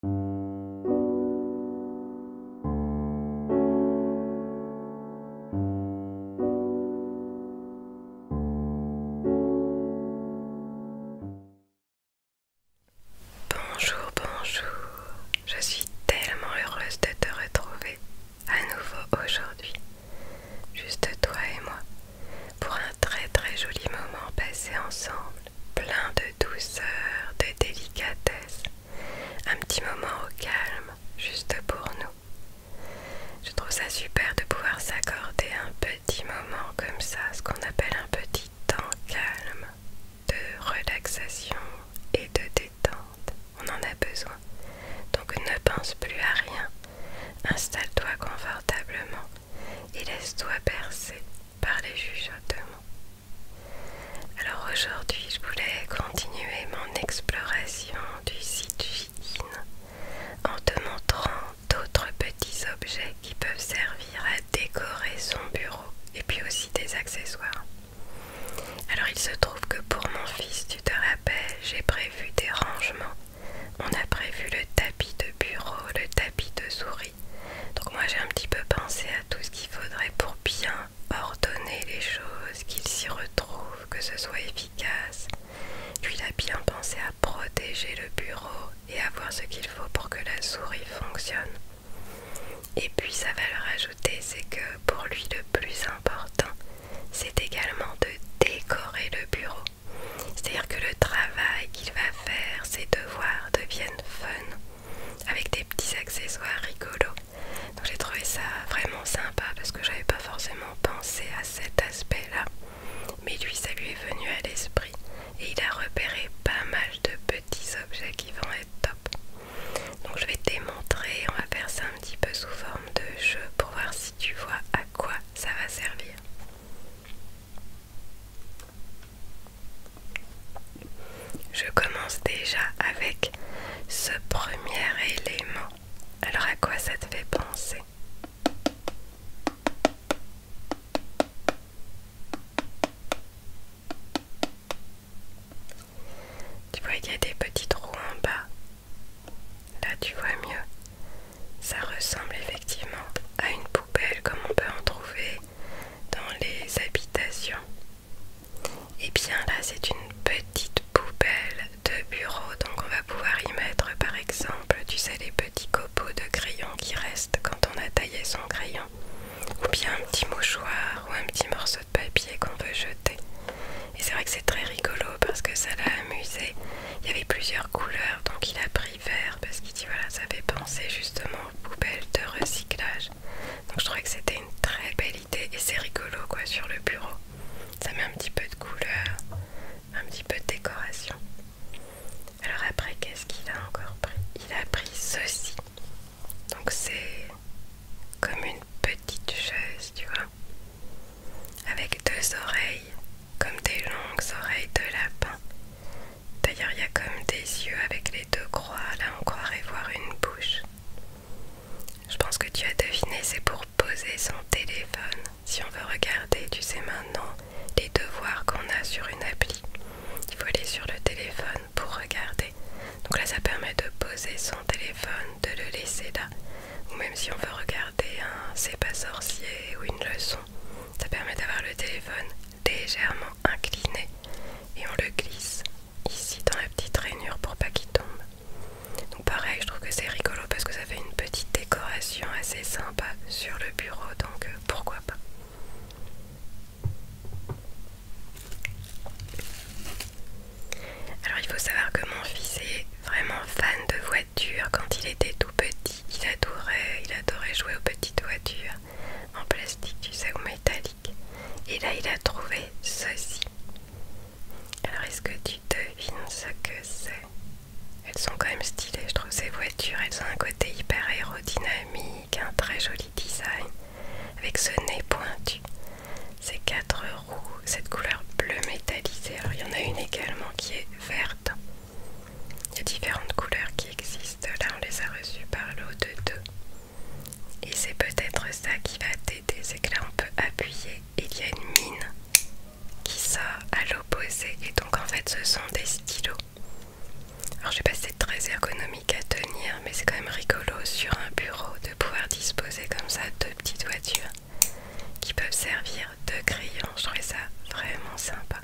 Bonjour, bonjour, je suis tellement heureuse de te retrouver à nouveau aujourd'hui, juste toi et moi, pour un très très joli moment passé ensemble plein de douceur, de délicatesse, un petit moment au calme, juste pour nous. Je trouve ça super de pouvoir s'accorder un petit moment comme ça, ce qu'on appelle un petit temps calme, de relaxation et de détente. On en a besoin. Donc ne pense plus à rien. Installe-toi confortablement et laisse-toi bercer par les chuchotements. Alors aujourd'hui, je voulais continuer mon exploration du site Chitine en te montrant d'autres petits objets qui peuvent servir à décorer son bureau et puis aussi des accessoires. Alors il se trouve que pour mon fils, tu te rappelles, j'ai prévu des rangements. On a prévu le tapis de bureau, le tapis de souris donc moi j'ai un petit peu pensé à tout ce qu'il faudrait pour bien ordonner les choses, qu'il s'y retrouve, que ce soit efficace. Puis il a bien pensé à protéger le bureau et avoir ce qu'il faut pour que la souris fonctionne. Et puis sa valeur ajoutée c'est que pour lui le plus important c'est également de décorer le bureau. C'est-à-dire que le travail qu'il va faire, ses devoirs deviennent fun avec des petits accessoires rigolos. Donc j'ai trouvé ça vraiment sympa parce que j'avais pas forcément pensé à cet aspect-là. Mais lui, ça lui est venu à l'esprit et il a repéré pas mal de petits objets qui vont être top. Donc je vais te montrer, on va faire ça un petit peu sous forme de jeu pour voir si tu vois à quoi ça va servir. Je commence déjà avec ce premier élément. Alors à quoi ça te fait penser Tu vois, qu'il y a des petits trous en bas. Là, tu vois mieux. Ça ressemble effectivement à une poudre comme on peut en trouver dans les habitations. Et bien là c'est une petite poubelle de bureau, donc on va pouvoir y mettre par exemple, tu sais, les petits copeaux de crayon qui restent quand on a taillé son crayon, ou bien un petit mouchoir ou un petit morceau de papier qu'on veut jeter. Et c'est vrai que c'est très rigolo parce que ça l'a amusé. Il y avait plusieurs couleurs, donc il a pris parce qu'il dit voilà ça fait penser justement aux poubelles de recyclage donc je trouvais que c'était une très belle idée et c'est rigolo quoi sur le bureau ça met un petit peu de couleur un petit peu de décoration alors après qu'est-ce qu'il a encore pris il a pris ceci donc c'est comme une petite chaise tu vois avec deux oreilles comme des longues oreilles de lapin. D'ailleurs, il y a comme des yeux avec les deux croix. Là, on croirait voir une bouche. Je pense que tu as deviné, c'est pour poser son téléphone. Si on veut regarder, tu sais maintenant, les devoirs qu'on a sur une appli. Il faut aller sur le téléphone pour regarder. Donc là, ça permet de poser son téléphone, de le laisser là. Ou même si on veut regarder un C'est pas sorcier ou une leçon, ça permet d'avoir le téléphone légèrement incliné et on le glisse ici dans la petite rainure pour pas qu'il tombe. Donc pareil, je trouve que c'est rigolo parce que ça fait une petite décoration assez sympa sur le bureau, donc euh, pourquoi pas. Alors il faut savoir que mon fils est vraiment fan de voitures. Quand il était tout petit, il adorait, jouer aux petites voitures en plastique, tu sais, ou métallique. Et là, il a trouvé ceci. Alors, est-ce que tu devines ce que c'est Elles sont quand même stylées, je trouve, ces voitures. Elles ont un côté hyper aérodynamique, un très joli design, avec ce nez pointu, ces quatre roues, cette couleur bleu métallisée. Alors, il y en a une également qui est verte. Il y a différentes couleurs qui existent. Là, on les a reçues par l'eau de deux Et c'est peut-être ça qui va t'aider. C'est que là, on peut appuyer et il y a une mine qui sort à l'opposé. Et donc, en fait, ce sont des stylos. Alors, je sais pas c'est très ergonomique à tenir, mais c'est quand même rigolo sur un bureau de pouvoir disposer comme ça deux petites voitures qui peuvent servir de crayon. Je trouvais ça vraiment sympa.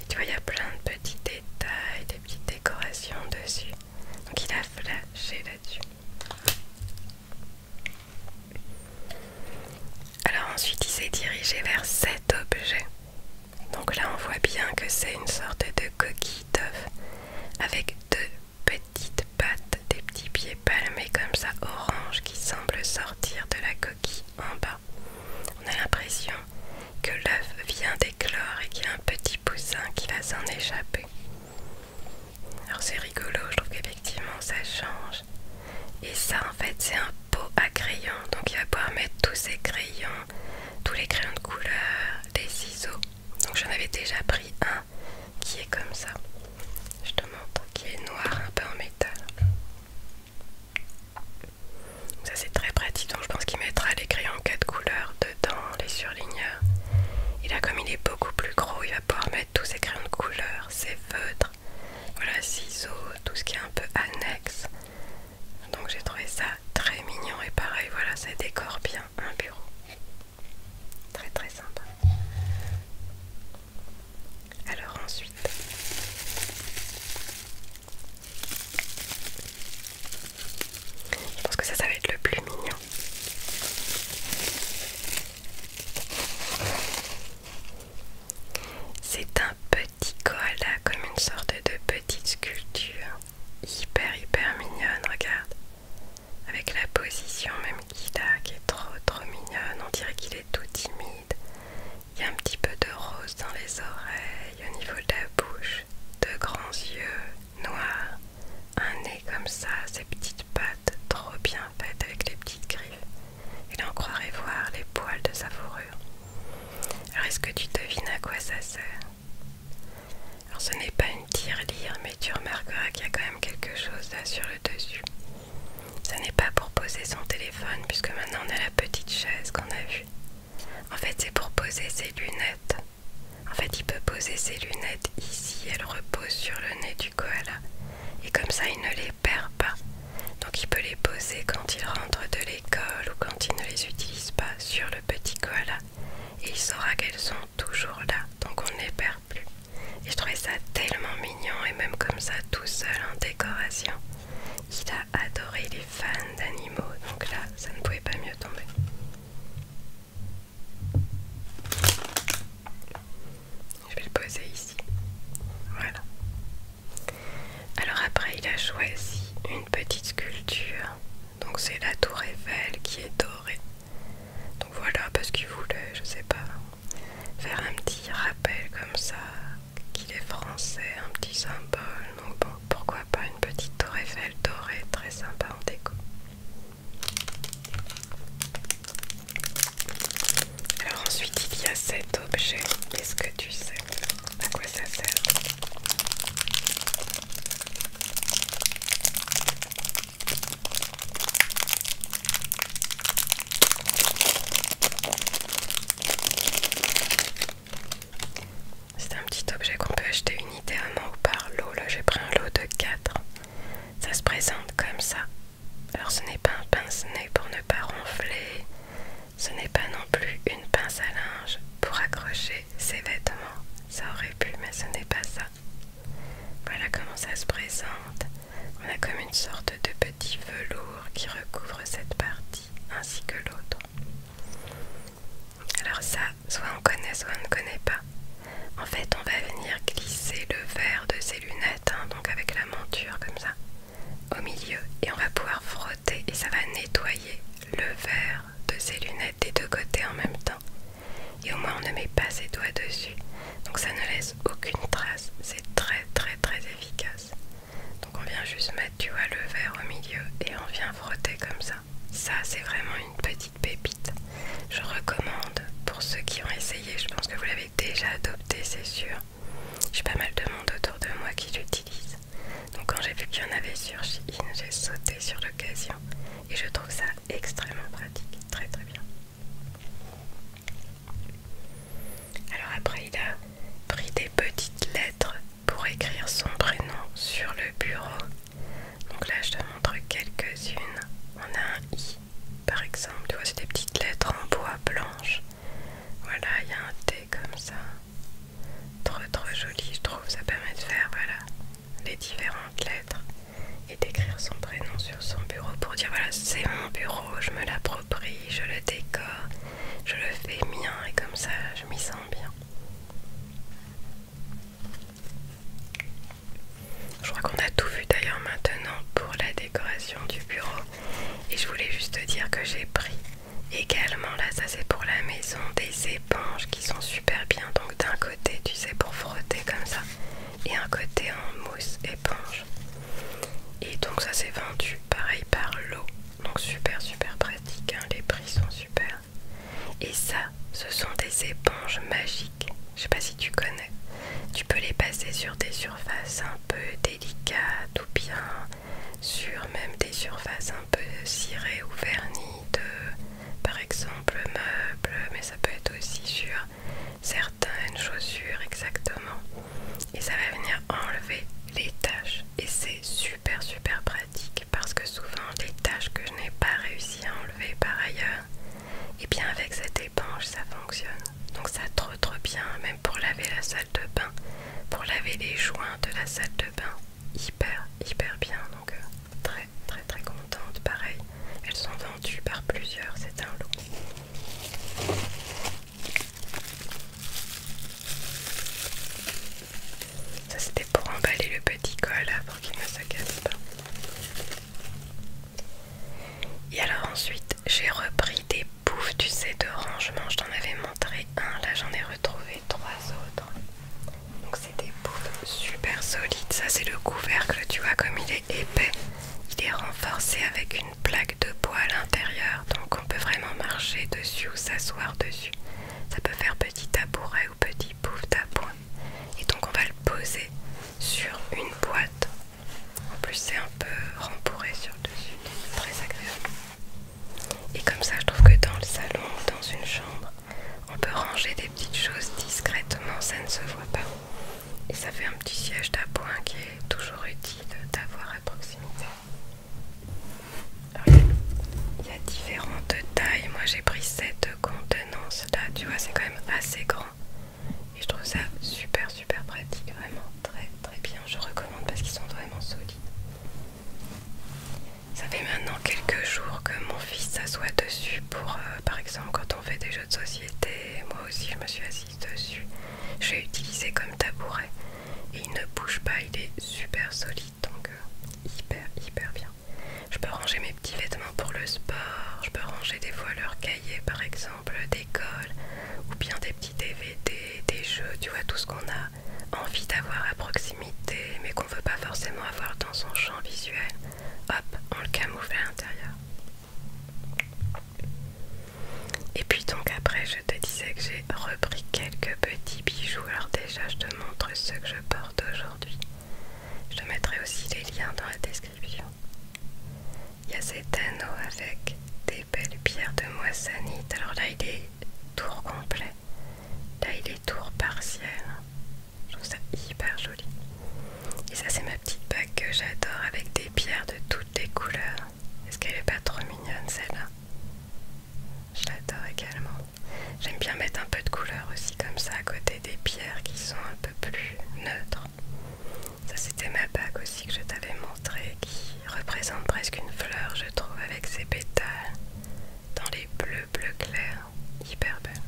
Et tu vois, il y a plein de petits détails, des petites décorations dessus. Donc il a flashé là-dessus. Alors ensuite, il s'est dirigé vers cet objet. Donc là, on voit bien que c'est une sorte de coquille d'œuf avec deux petites pattes, des petits pieds palmés comme ça, orange, qui semblent sortir de la en bas. On a l'impression que l'œuf vient d'éclore et qu'il y a un petit poussin qui va s'en échapper. Alors c'est rigolo, je trouve qu'effectivement ça change. Et ça en fait c'est un pot à crayons, donc il va pouvoir mettre tous ses crayons, tous les crayons de couleur, des ciseaux. Donc j'en avais déjà pris un qui est comme ça. Je te montre qui est noir, un peu en métal. Ça c'est très pratique, donc je pense qu'il mettra les crayons 4 couleurs dedans, les surligneurs. Et là comme il est beaucoup plus gros, il va pouvoir mettre tous ses crayons de couleur, ses feutres, voilà, ciseaux, tout ce qui est un peu annexe. Donc j'ai trouvé ça très mignon et pareil, voilà, ça décore bien un bureau. Très très sympa. Alors ensuite, je pense que ça, ça va être le plus mignon. C'est un petit koala comme une sorte de petite sculpture hyper hyper mignonne, regarde. Avec la position, même qui est trop trop mignonne. On dirait qu'il est tout timide. Il y a un petit peu de rose dans les oreilles, au niveau de la bouche, de grands yeux noirs, un nez comme ça, ses petites pattes trop bien faites avec les petites griffes. Et en croirait voir les poils de sa fourrure. Alors est-ce que tu devines à quoi ça sert alors ce n'est pas une tirelire mais tu remarqueras qu'il y a quand même quelque chose là sur le dessus. Ça n'est pas pour poser son téléphone, puisque maintenant on a la petite chaise qu'on a vue. En fait, c'est pour poser ses lunettes. En fait, il peut poser ses lunettes ici, elles reposent sur le nez du koala. Et comme ça, il ne les perd pas. Donc, il peut les poser quand il rentre de l'école ou quand il ne les utilise pas sur le petit koala. Et il saura qu'elles sont toujours là, donc on ne les perd plus. Et je trouvais ça tellement mignon et même comme ça tout seul en décoration. Il a adoré les fans d'animaux, donc là ça ne pouvait pas mieux tomber. Je vais le poser ici. Voilà. Alors après il a choisi une petite sculpture. Donc c'est la tour Eiffel qui est dorée. Donc voilà, parce qu'il voulait, je sais pas, faire un petit rappel comme ça, qu'il est français, un petit symbole. Donc bon, pourquoi pas une petite tour Eiffel dorée, très sympa en déco. Alors ensuite il y a cet objet. quest ce que tu sais à quoi ça sert c'est un petit objet qu'on peut acheter unitairement ou par lot. Là, j'ai pris un lot de 4. Ça se présente comme ça. Alors, ce n'est pas un pince-nez pour ne pas ronfler. Ce n'est pas non plus une pince à linge pour accrocher ses vêtements. Ça aurait pu, mais ce n'est pas ça. Voilà comment ça se présente. On a comme une sorte de petit velours qui recouvre cette partie ainsi que l'autre. Alors ça, soit on connaît, soit on ne connaît pas. En fait, on va venir glisser le verre de ces lunettes, hein, donc avec la monture comme ça, au milieu. Et on va pouvoir frotter et ça va nettoyer le verre de ces lunettes des deux côtés en même temps et au moins on ne met pas ses doigts dessus donc ça ne laisse aucune trace c'est très très très efficace donc on vient juste mettre tu vois le verre au milieu et on vient frotter comme ça ça c'est vraiment une petite pépite je recommande pour ceux qui ont essayé je pense que vous l'avez déjà adopté c'est sûr j'ai pas mal de monde autour de moi qui l'utilise donc quand j'ai vu qu'il y en avait sur Shein j'ai sauté sur l'occasion et je trouve ça extrêmement pratique très très bien alors après il a pris des petites lettres pour écrire son prénom sur le bureau. Donc là je te montre quelques-unes. On a un I par exemple, tu vois c'est des petites lettres en bois blanche. Voilà, il y a un T comme ça. Trop trop joli je trouve, ça permet de faire voilà, les différentes lettres et d'écrire son prénom sur son bureau pour dire voilà c'est mon bureau, je me l'approprie, je le décore, je le fais mien et comme ça je m'y sens bien. Je crois qu'on a tout vu d'ailleurs maintenant pour la décoration du bureau et je voulais juste dire que j'ai pris également là ça c'est pour la maison des éponges qui sont super bien donc d'un côté tu sais pour frotter comme ça et un côté en mousse éponge. Et donc ça s'est vendu pareil par l'eau. Donc super super pratique, hein. les prix sont super. Et ça, ce sont des éponges magiques. Je sais pas si tu connais. Tu peux les passer sur des surfaces un peu délicates ou bien sur même des surfaces un peu cirées ou vernies de par exemple, meuble, mais ça peut être aussi sur certaines chaussures exactement. Et ça va venir enlever les taches. Et c'est super super pratique parce que souvent les taches que je n'ai pas réussi à enlever par ailleurs, et eh bien avec cette éponge ça fonctionne. Donc ça trop trop bien, même pour laver la salle de bain, pour laver les joints de la salle de bain. Hyper hyper bien, donc euh, très très très contente. Pareil, elles sont vendues par plusieurs, c'est un lot. Ça c'était pour emballer le petit col là, pour qu'il ne se casse pas. Et alors ensuite j'ai repris des bouffes, tu sais, de rangement. Je t'en avais montré un, là j'en ai retrouvé trois autres. Donc c'est des bouffes super solides. Ça c'est le couvercle, tu vois comme il est épais. Il est renforcé avec une plaque de bois à l'intérieur. Donc on peut vraiment marcher dessus ou s'asseoir dessus. Ça peut faire petit tabouret ou petit à d'appoint. Et donc on va le poser sur une boîte. En plus c'est un peu rembourré sur le dessus. Très agréable. Et comme ça je trouve que dans le salon ou dans une chambre, on peut ranger des petites choses discrètement, ça ne se voit pas. Et ça fait un petit siège d'appoint qui est toujours utile d'avoir à proximité. il y a différentes tailles. Moi j'ai pris cette contenance là, tu vois, c'est quand même assez grand. Et je trouve ça super super pratique, vraiment très très bien. Je recommande parce qu'ils sont vraiment solides. Ça fait maintenant quelques jours que mon fils s'assoit dessus pour, euh, par exemple, quand on fait des jeux de société. Moi aussi, je me suis assise dessus. Je l'ai utilisé comme tabouret. Et il ne bouge pas, il est super solide, donc euh, hyper, hyper bien. Je peux ranger mes petits vêtements pour le sport, je peux ranger des fois leurs cahiers, par exemple, d'école, ou bien des petits DVD, des jeux, tu vois, tout ce qu'on a envie d'avoir à proximité, veut pas forcément avoir dans son champ visuel, hop, on le camoufle à l'intérieur. Et puis donc après je te disais que j'ai repris quelques petits bijoux, alors déjà je te montre ceux que je porte aujourd'hui. Je te mettrai aussi les liens dans la description. Il y a cet anneau avec des belles pierres de moissanite, alors là il est tour complet, là il est tour partiel. Je trouve ça hyper joli. Et ça, c'est ma petite bague que j'adore avec des pierres de toutes les couleurs. Est-ce qu'elle est pas trop mignonne celle-là Je l'adore également. J'aime bien mettre un peu de couleur aussi comme ça à côté des pierres qui sont un peu plus neutres. Ça c'était ma bague aussi que je t'avais montré qui représente presque une fleur je trouve avec ses pétales dans les bleus bleu clair hyper belle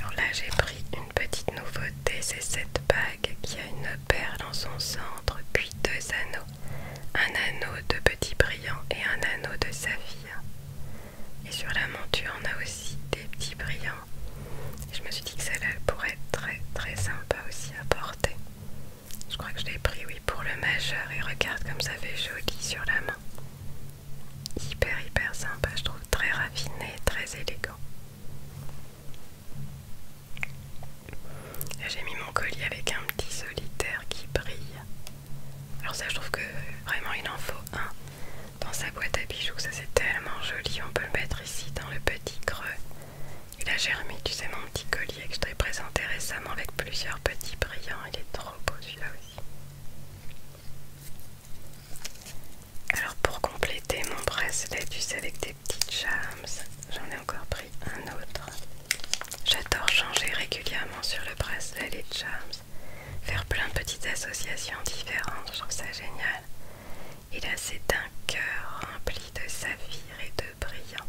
Alors là, j'ai pris une petite nouveauté, c'est cette bague qui a une perle en son centre, puis deux anneaux. Un anneau de petits brillants et un anneau de saphir. Et sur la monture, on a aussi des petits brillants. je me suis dit que celle-là pourrait être très très sympa aussi à porter. Je crois que je l'ai pris, oui, pour le majeur. Et regarde comme ça fait joli sur la main. Hyper, hyper sympa. Je trouve très raffiné, très élégant. J'ai mis mon collier avec un petit solitaire qui brille. Alors ça, je trouve que vraiment il en faut un dans sa boîte à bijoux. Ça, c'est tellement joli. On peut le mettre ici dans le petit creux. Et là, j'ai remis, tu sais, mon petit collier que je t'ai présenté récemment avec plusieurs petits brillants. Il est trop beau celui-là aussi. Alors pour compléter mon bracelet, du sais, avec des petites charms, j'en ai encore pris un autre. J'adore changer régulièrement sur le bracelet les charms, faire plein de petites associations différentes, je trouve ça génial. Et là c'est un cœur rempli de saphir et de brillant.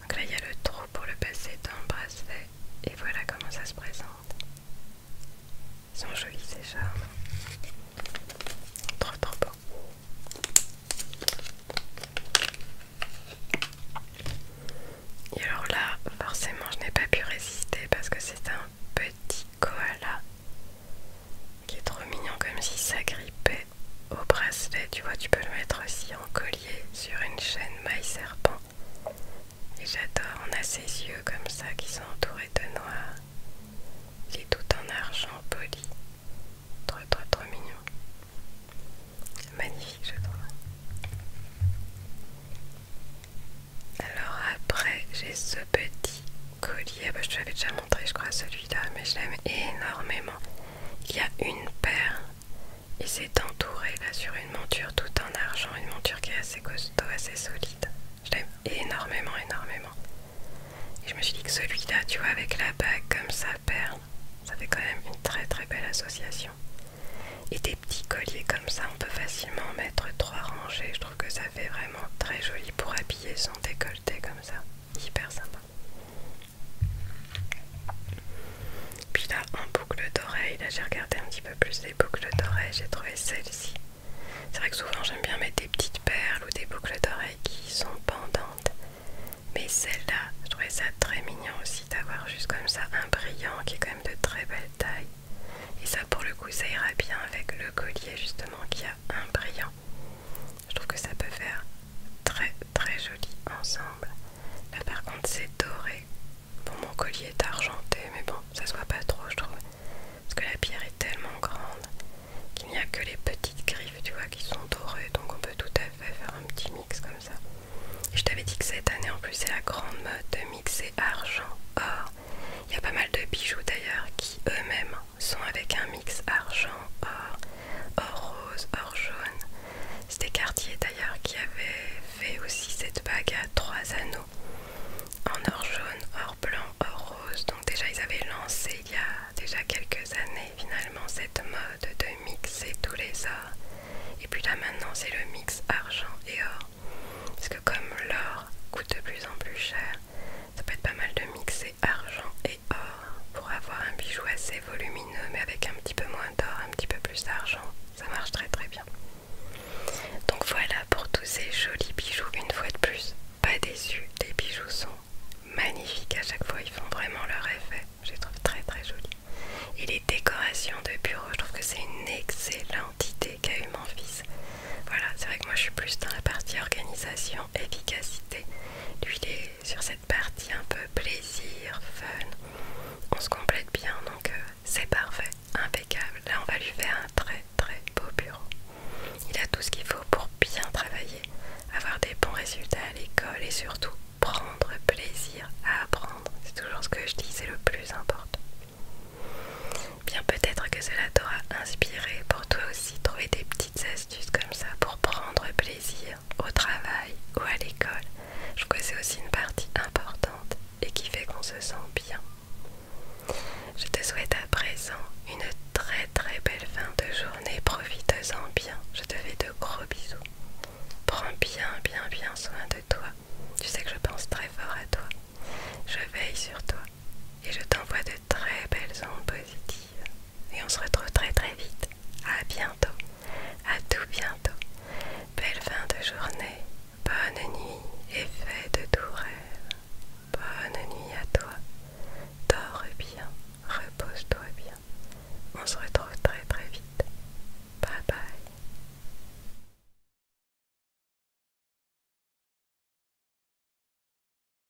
Donc là il y a le trou pour le passer dans le bracelet et voilà comment ça se présente. Ils sont jolis ces charmes. Trop trop beau. Et alors là, forcément, je n'ai pas pu résister parce que c'est un petit koala qui est trop mignon comme si ça grippait. Au bracelet, tu vois, tu peux le mettre aussi en collier sur une chaîne maille serpent. Et j'adore, on a ses yeux comme ça qui sont entourés de noir. Il est tout en argent poli. Trop, trop, trop mignon. Magnifique, je trouve. Alors après, j'ai ce petit collier. Ah bah, je te l'avais déjà montré, je crois, celui-là, mais je l'aime énormément. Il y a une paire il s'est entouré là sur une monture tout en argent, une monture qui est assez costaud, assez solide. Je l'aime énormément, énormément. Et je me suis dit que celui-là, tu vois, avec la bague comme ça, perle, ça fait quand même une très très belle association. Et des petits colliers comme ça, on peut facilement mettre trois rangées. Je trouve que ça fait vraiment très joli pour habiller sans décolleté comme ça. Hyper sympa. Puis là, en boucle d'oreille, là j'ai regardé un petit peu plus les boucles d'oreilles, j'ai trouvé celle-ci. C'est vrai que souvent j'aime bien mettre des petites perles ou des boucles d'oreilles qui sont pendantes. Mais celle-là, je trouvais ça très mignon aussi d'avoir juste comme ça un brillant qui est quand même de très belle taille. Et ça pour le coup ça ira bien avec le collier justement qui a un brillant. Je trouve que ça peut faire très très joli ensemble. Là par contre c'est doré. Bon mon collier est argenté mais bon ça se voit pas trop je trouve. Parce que la pierre est tellement grande qu'il n'y a que les petites griffes tu vois qui sont dorées. Donc on peut tout à fait faire un petit mix comme ça. je t'avais dit que cette année en plus c'est la grande mode de mixer argent, or. Il y a pas mal de bijoux d'ailleurs qui eux-mêmes sont avec un mix argent, or, or rose, or jaune. C'était Cartier d'ailleurs qui avait fait aussi cette bague à trois anneaux en or jaune, or blanc, or rose. Donc déjà ils avaient lancé il y a déjà quelques années finalement cette mode de mixer tous les ors. Et puis là maintenant c'est le mix argent et or. Parce que comme l'or coûte de plus en plus cher, ça peut être pas mal de mixer argent or pour avoir un bijou assez volumineux mais avec un petit peu moins d'or, un petit peu plus d'argent. Ça marche très très bien. Donc voilà pour tous ces jolis bijoux une fois de plus. Pas déçu, les bijoux sont magnifiques à chaque fois, ils font vraiment leur effet. Je les trouve très très jolis. Et les décorations de bureau, je trouve que c'est une excellente idée qu'a eu mon fils. Voilà, c'est vrai que moi je suis plus dans la partie organisation, efficacité. Lui il sur cette partie un peu plaisir, fun. On se complète bien donc euh, c'est parfait, impeccable. Là on va lui faire un très très beau bureau. Il a tout ce qu'il faut pour bien travailler, avoir des bons résultats à l'école et surtout prendre plaisir à apprendre. C'est toujours ce que je dis, c'est le plus important. Bien peut-être que cela t'aura inspiré pour toi aussi trouver des petites astuces juste comme ça pour prendre plaisir au travail ou à l'école. Je crois c'est aussi une partie importante et qui fait qu'on se sent bien. Je te souhaite à présent une très très belle fin de journée. Profite-en bien. Je te fais de gros bisous. Prends bien bien bien soin de toi. Tu sais que je pense très fort à toi. Je veille sur toi et je t'envoie de très belles ondes positives. Et on se retrouve très très vite. À bientôt. À tout bientôt. Belle fin de journée. Bonne nuit et fais de tout rêve. Bonne nuit à toi. Dors bien. Repose-toi bien. On se retrouve très très vite. Bye bye.